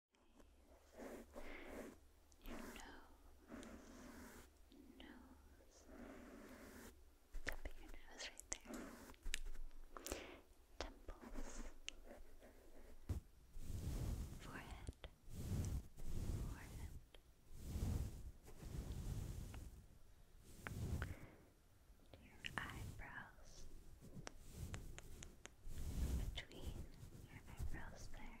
Your nose, nose, tapping your nose right there. Temples, forehead, forehead. Your eyebrows, between your eyebrows there.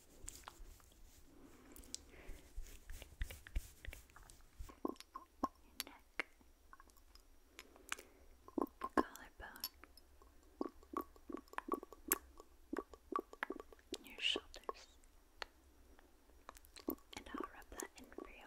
neck, collarbone, your shoulders, and I'll rub that in for you.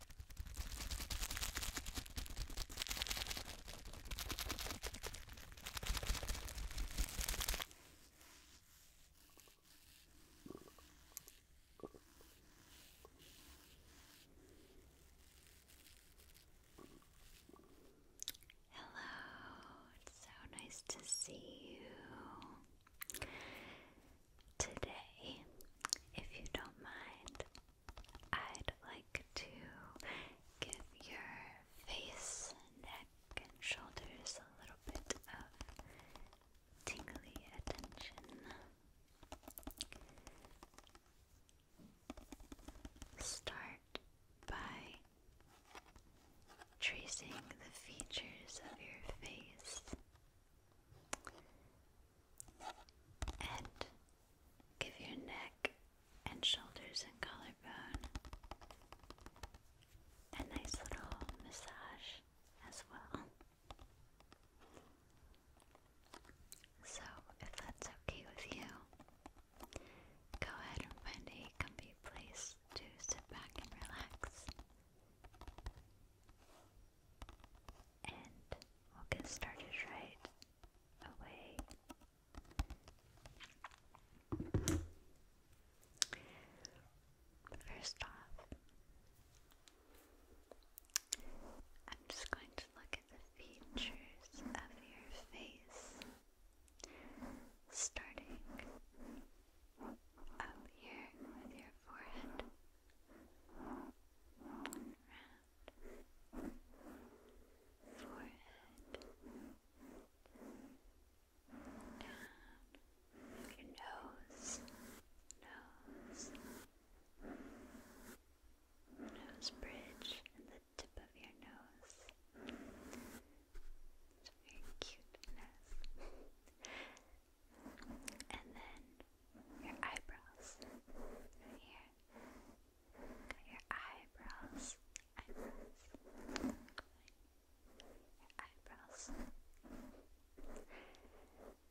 Hello, it's so nice to see you today. If you don't mind, I'd like to give your face, neck, and shoulders a little bit of tingly attention. Start by tracing the features of your face and give your neck and shoulders and collarbone a nice little massage as well. So, if that's okay with you, go ahead and find a comfy place to sit back and relax. And we'll get started right away. First off, I'm just going to look at the features of your face, starting up here with your forehead, forehead, down your nose, nose, nose bridge, and the tip of your nose. It's very cuteness. and then your eyebrows right here. Got your eyebrows. Eyebrows. eyebrows.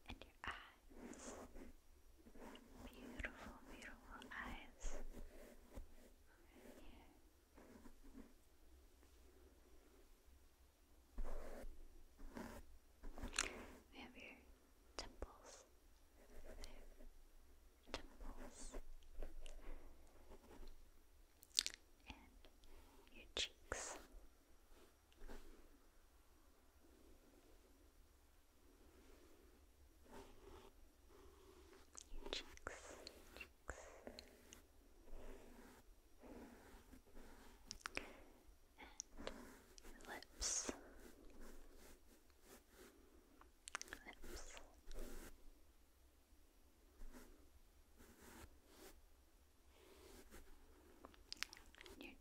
And your eyes. Beautiful, beautiful eyes. here. We your temples, temples, and your cheeks. cheeks, cheeks. And lips, your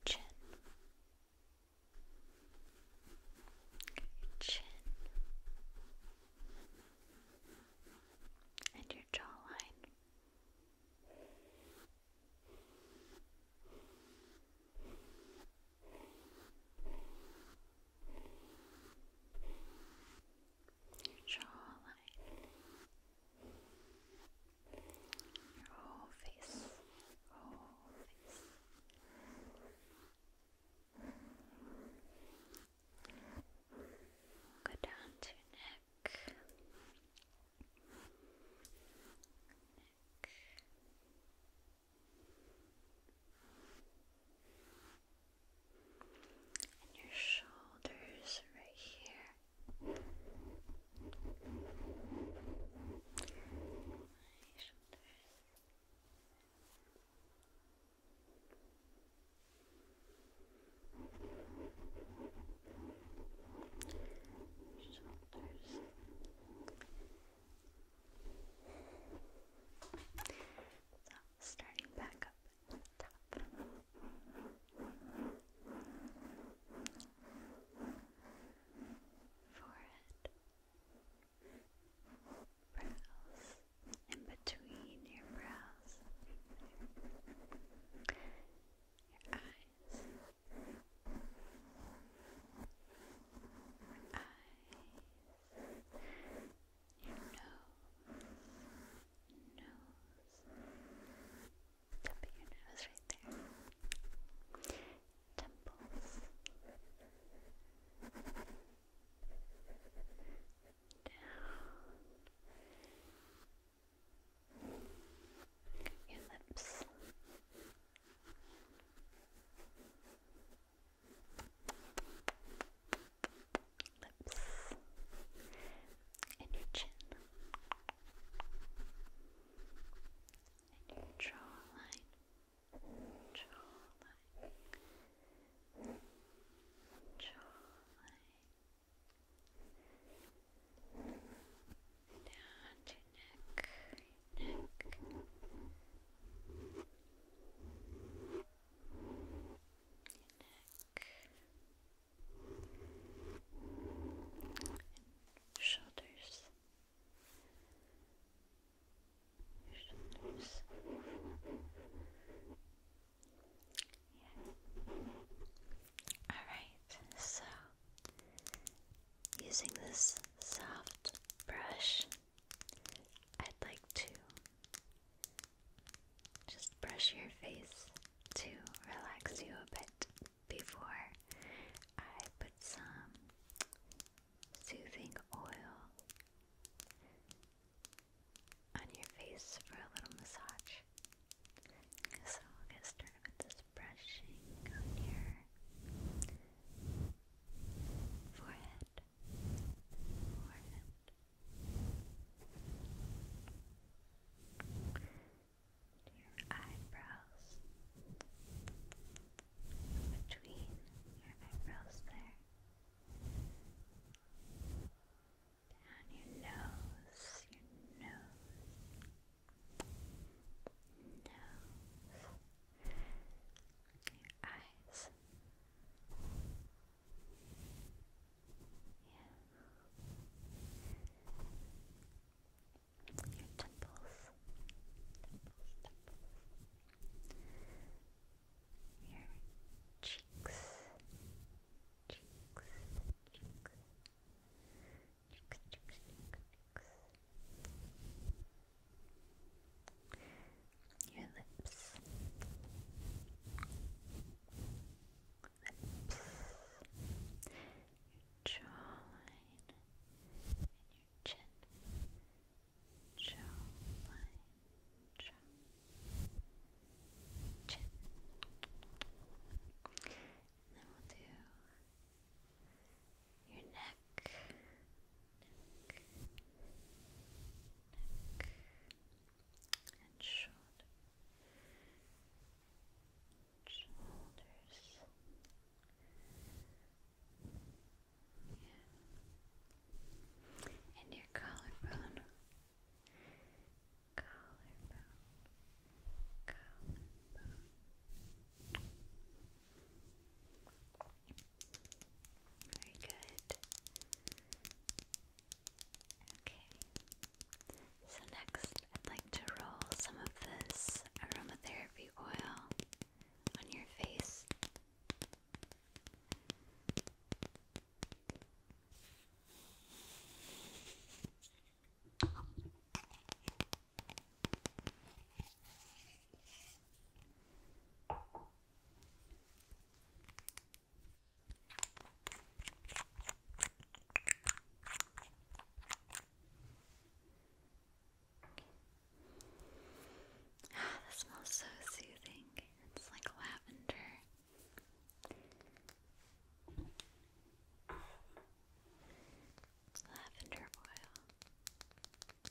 chin. chin. And your jawline your jawline, your whole face, whole face. Go down to neck, neck, and your shoulders right here. shoulders. Shoulders. So, starting back up top. Forehead, brows, in between your brows, your eyes, eyes your nose, nose, tip your nose right there, temples, down, your lips lips, and your chin, and your jawline, jawline, jawline. Down to neck, neck. neck. shoulders. shoulders. Yeah. Alright, so using this soft brush I'd like to just brush your face to relax you a bit before I put some soothing oil on your face for a little massage. So I'll get started with this brushing on your forehead, forehead. Your eyebrows, between your eyebrows there, down your nose, your nose, nose, your eyes. Yeah. Your temples. Temples, temples. Your cheeks. Cheeks. Cheeks. Cheeks, cheeks, cheeks, cheeks your lips, lips, your jawline, and your chin, jawline, jaw, chin. then we'll do your neck, neck, and shoulder, shoulders. Yeah. And your collarbone. Collarbone. Collarbone. Very good. Okay. So next, I'd like to roll some of this aromatherapy oil on your face. Ah, that smells so soothing. It's like lavender. Lavender oil.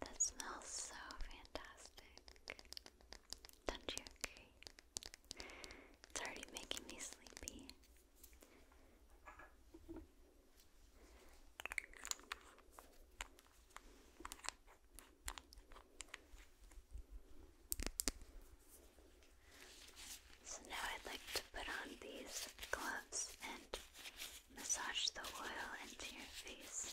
That smells so fantastic. Don't you agree? It's already making me sleepy. So now I'd like to put on these gloves and massage the oil into your face.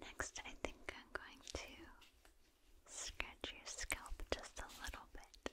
Next, I think I'm going to scratch your scalp just a little bit.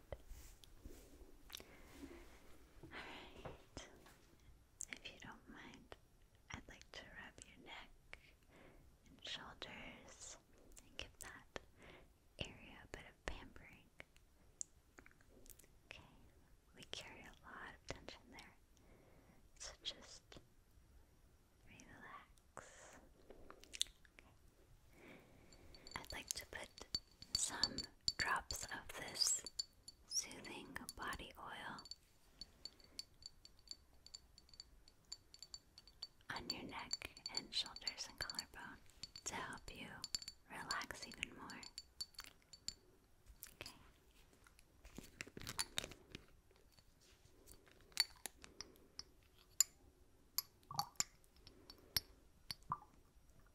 Alright, if you don't mind, I'd like to rub your neck and shoulders and give that area a bit of pampering. Okay, we carry a lot of tension there, so just relax. Okay. I'd like to put some drops of this soothing body oil on your neck and shoulders and collarbone to help you relax even more. Okay. On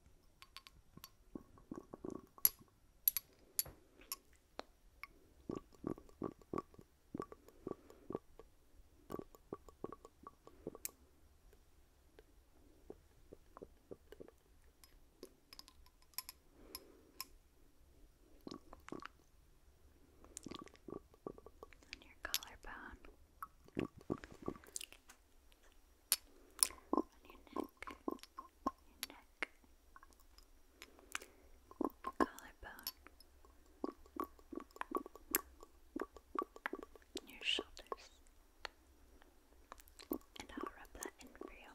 your collarbone on your neck, your neck, collarbone, your shoulders, and I'll rub that in for you.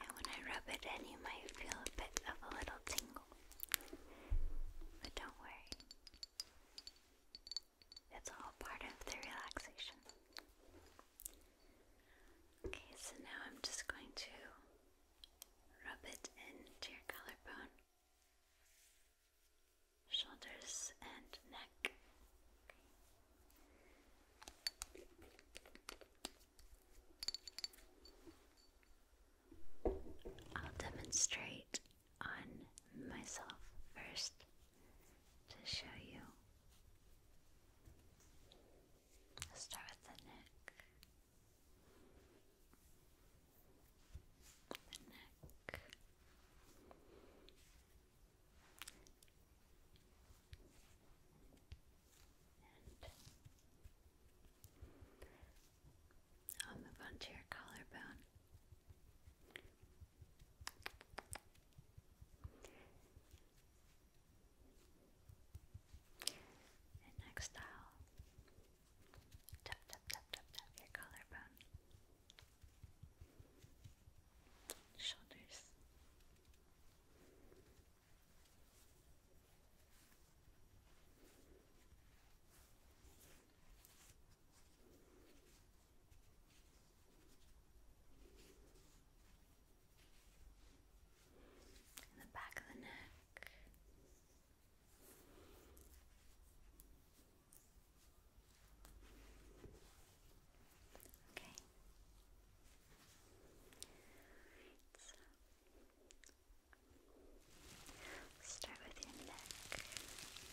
And when I rub it in, you might feel a bit of a little tingle. But don't worry, it's all part of the relaxation. Okay, so now I'm just going to rub it into your collarbone, shoulders, and neck. I'll demonstrate on myself first to show you. Let's start with the neck. The neck. I'll move on to your collarbone. And next I'll tap, tap, tap, tap, tap your collarbone. Shoulders. In the back of the neck. Okay. So, Start with your neck. Your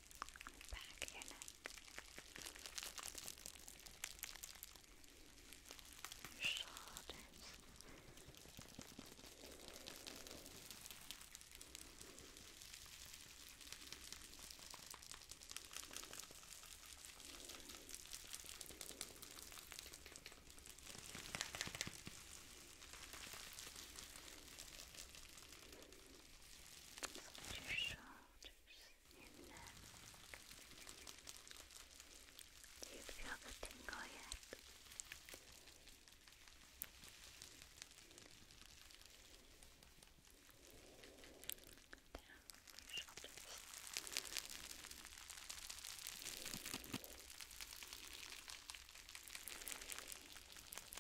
back of your neck, your shoulders, your shoulders your neck. Do you feel the tingle yet? Down your shoulders. Down your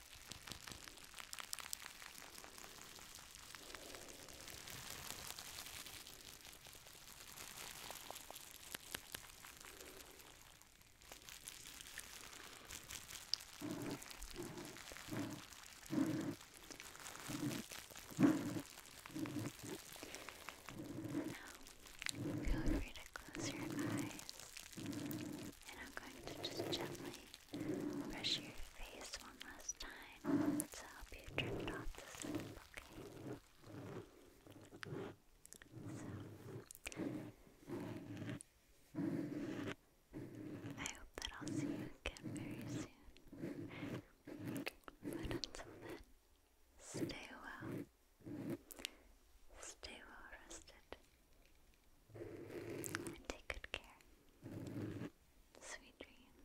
Now, feel free to close your eyes, and I'm going to just gently brush your face one last time to help you drift off to sleep, okay? So, I hope that I'll see you again very soon. But until then, stay well. Stay well rested. And take good care. Sweet dreams.